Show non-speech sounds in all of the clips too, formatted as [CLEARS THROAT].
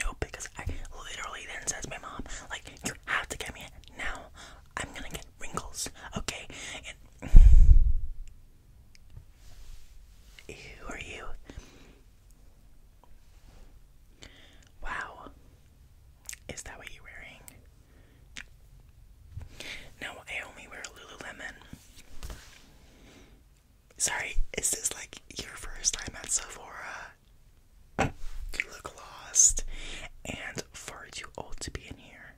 No, because I literally then says my mom, like, you have to get me it now. I'm gonna get wrinkles, okay? who are you? Wow. Is that what you're wearing? No, I only wear Lululemon. Sorry, is this like your first time at Sephora? You look lost and far too old to be in here.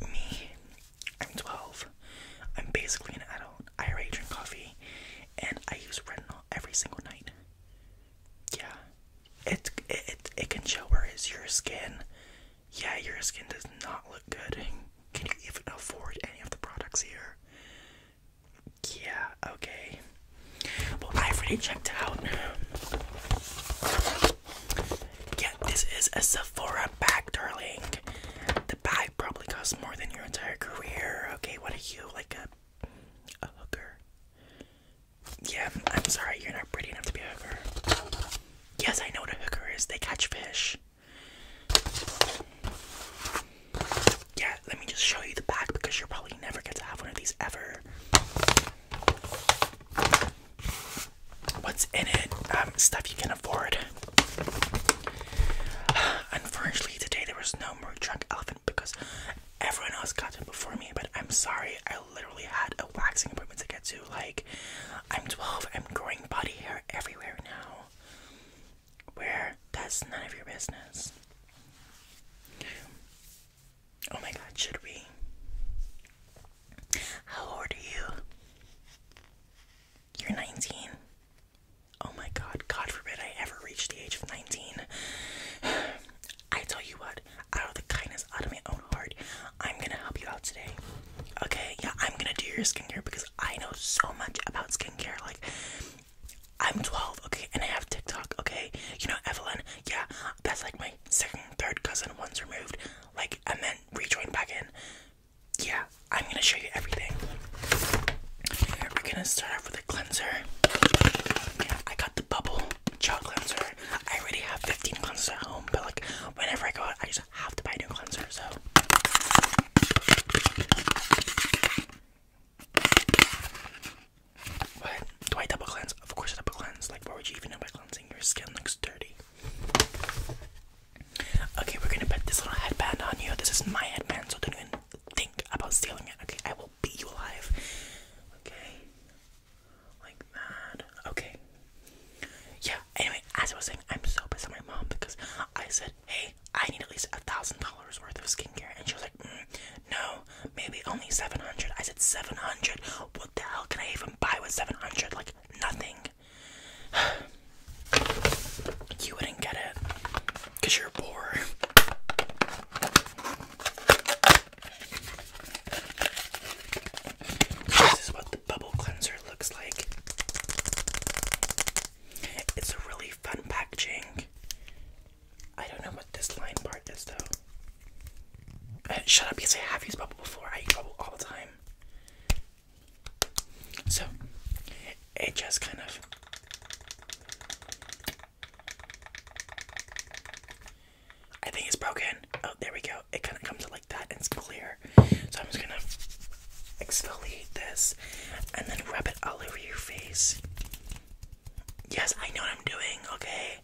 Me, I'm 12. I'm basically an adult. I already drink coffee and I use retinol every single night. Yeah, it, it, it can show where is your skin. Yeah, your skin does not look good. Can you even afford any of the products here? Yeah, okay. Well, I've already checked out. Yeah, this is a Sephora bag, darling. The bag probably costs more than your entire career. Okay, what are you, like a, a hooker? Yeah, I'm sorry, you're not pretty enough to be a hooker. Yes, I know what a hooker is. They catch fish. Yeah, let me just show you the back because you'll probably never get to have one of these ever. What's in it? Um, stuff you can afford. [SIGHS] Unfortunately, today there was no more drunk elephant because everyone else got it before me. But I'm sorry, I literally had a waxing appointment to get to. Like, I'm 12, I'm growing body hair everywhere now where that's none of your business. Oh my god, should we? How old are you? You're 19. Oh my god, God forbid I ever reach the age of 19. [SIGHS] I tell you what, out of the kindness, out of my own heart, I'm gonna help you out today. Okay, yeah, I'm gonna do your skincare because I know so much about skincare. like. I'm 12, okay, and I have TikTok, okay? You know, Evelyn, yeah, that's like my second, third cousin once removed, like, and then rejoin back in. Yeah, I'm gonna show you everything. We're gonna start off with a cleanser. I got the bubble gel cleanser. I already have 15 cleansers at home, but like, whenever I go out, I just have to buy a new cleanser, so what? Do I double cleanse? Of course double cleanse. Like, what would you even know by cleansing? Your skin looks dirty. Okay, we're gonna put this little headband on you. This is my headband, so don't even think about stealing it. Okay, I will beat you alive. Okay, like that. Okay. Yeah. Anyway, as I was saying, I'm so pissed at my mom because I said, "Hey, I need at least a thousand dollars worth of skincare. And she was like, mm, no, maybe only 700. I said, 700? What the hell can I even buy with 700? Like, nothing. [SIGHS] you wouldn't get it because you're poor. This is what the bubble cleanser looks like. It's a really fun packaging. I don't know what this line part is though. Uh, shut up, because I have used bubble before. I eat bubble all the time. So, it just kind of. I think it's broken. Oh, there we go. It kind of comes out like that and it's clear. So I'm just gonna exfoliate this and then rub it all over your face. Yes, I know what I'm doing, okay?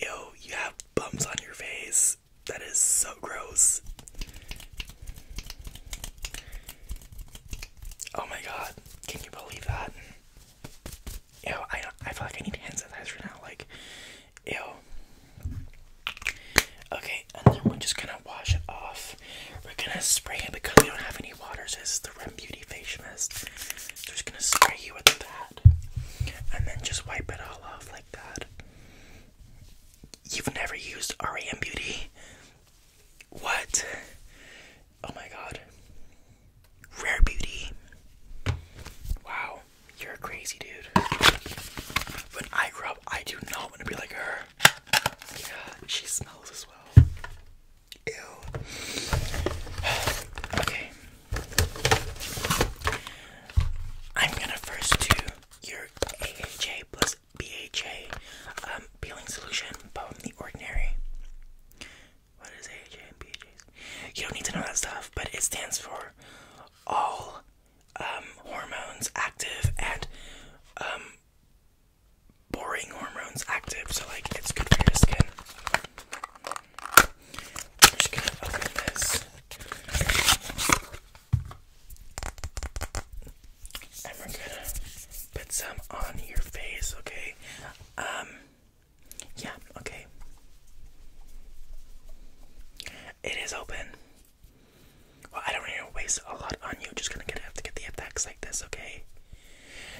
Ew, you have bumps on your face. That is so gross. Oh my god, can you believe that? Ew, I, I feel like I need hands hand sanitizer now. Like, ew, Okay, and then we're just gonna wash it off. We're gonna spray it because we don't have any water, so this is the Rem Beauty Face Mist. So we're just gonna spray you with that. And then just wipe it all off like that. You've never used REM Beauty? What? Oh my god. Rare Beauty. Wow, you're a crazy dude. When I grew up, up. I do not want to be like her. Yeah, she smells as well. Ew. [SIGHS] okay. I'm gonna first do your AHA plus BHA um, peeling solution, but from the ordinary. What is AHA and BHAs? You don't need to know that stuff, but it stands for all um, hormones active and um, boring hormones active, so like it's good for your skin. just gonna open this. And we're gonna put some on your face, okay? Um, yeah, okay. It is open. Well, I don't want to waste a lot on you. Just gonna get, have to get the effects like this, okay?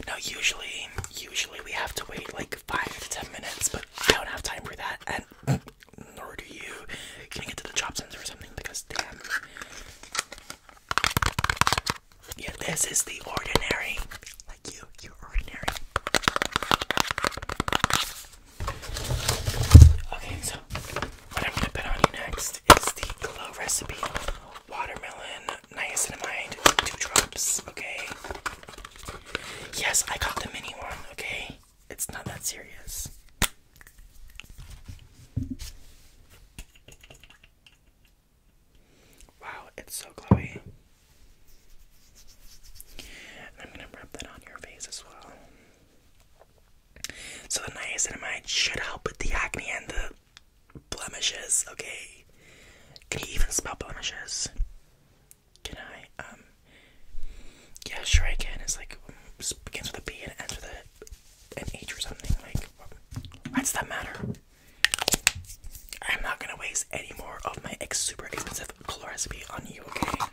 Now, usually, usually we have to wait like five to ten minutes, but I don't have time for that, and [CLEARS THROAT] nor do you. Can I get to the chop sensor or something because damn. Yeah, this is the ordinary. Like you, you ordinary. Okay, so what I'm gonna put on you next is the Glow Recipe Watermelon Niacinamide Two Drops. Okay. Yes, I got the mini one. Okay, it's not that serious. Wow, it's so glowy. I'm gonna rub that on your face as well. So the niacinamide should help with the acne and the blemishes, okay? Can you even spell blemishes? Can I? Um Yeah, sure I can. It's like begins with a B and ends with a an H or something. Like why does that matter? I'm not gonna waste any more of my ex super expensive colorazepam on you, okay?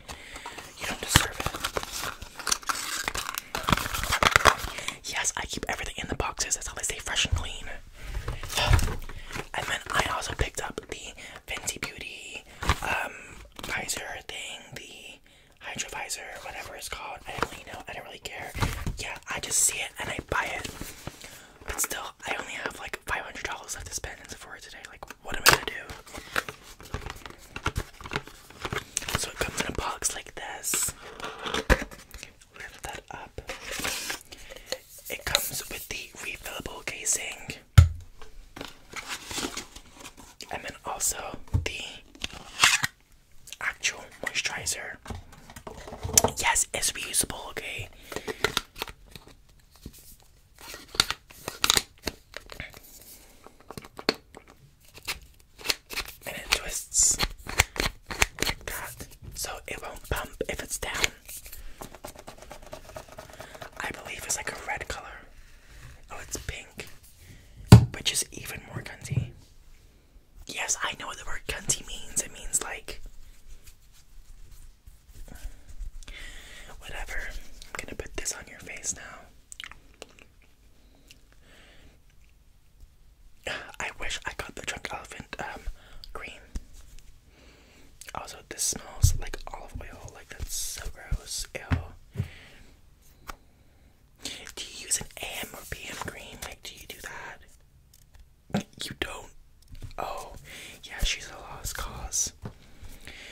Yes, I keep everything in the boxes. That's how they stay fresh and clean. [SIGHS] and then I also picked up the Fenty Beauty visor um, thing, the hydrovisor, whatever it's called. I don't really know. I don't really care. Yeah, I just see it and I buy it. But still, I only have like $500 left to spend in Sephora today. Like, what am I gonna do? So it comes in a box like this. Lift that up. It comes with the refillable casing. And then also the actual moisturizer. Yes, it's reusable, okay? And it twists like that so it won't bump if it's down. I believe it's like a red color. Oh, it's pink, which is even more cunty. Yes, I know what the word cunty means. It means like Whatever. I'm gonna put this on your face now. I wish I got the drunk elephant um cream. Also, this smells like olive oil. Like that's so gross. Ew. Do you use an AM or PM cream? Like, do you do that? You don't. Oh, yeah, she's a lost cause.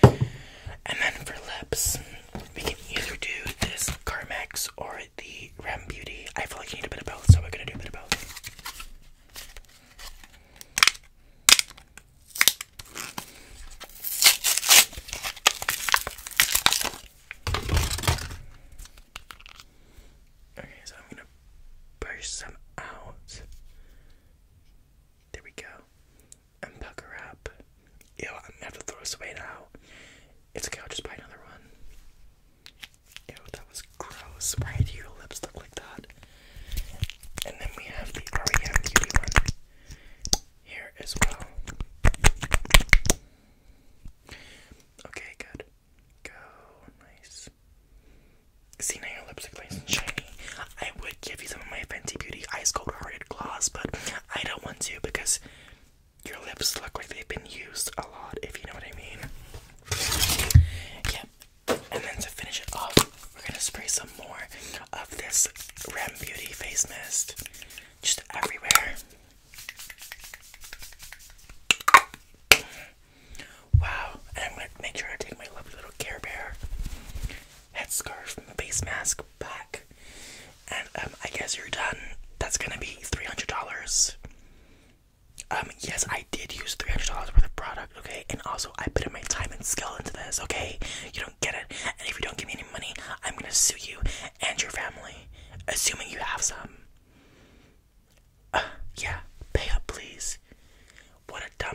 And then for lips, we can either do this Carmex or the Rem Beauty. I feel like I need a bit of both, so we're gonna do a bit of both. Okay, so I'm gonna brush some out. There we go and pucker up. Ew, I'm gonna have to throw this away now. It's a couch. just buy another one. Ew, that was gross. Why do your lips look like that? And then we have the REM one here as well. Okay, good. Go, nice. See your lips are shiny. I would give you some of my fancy Beauty Ice Cold Hearted Gloss, but I don't want to because your lips look like they've been used a lot, if you know what I mean. Yeah. And then to finish it off, we're gonna spray some more of this Rem Beauty face mist just everywhere. Wow, and I'm gonna make sure I take my lovely little Care Bear headscarf and the face mask back. And um, I guess you're done. That's gonna be three hundred dollars. Um, yes, I did use three hundred dollars worth of product, okay? And also, I put in my time and skill into this, okay? You don't get it, and if you don't give me any money, I'm gonna sue you and your family, assuming you have some. Uh, yeah, pay up, please. What a dumb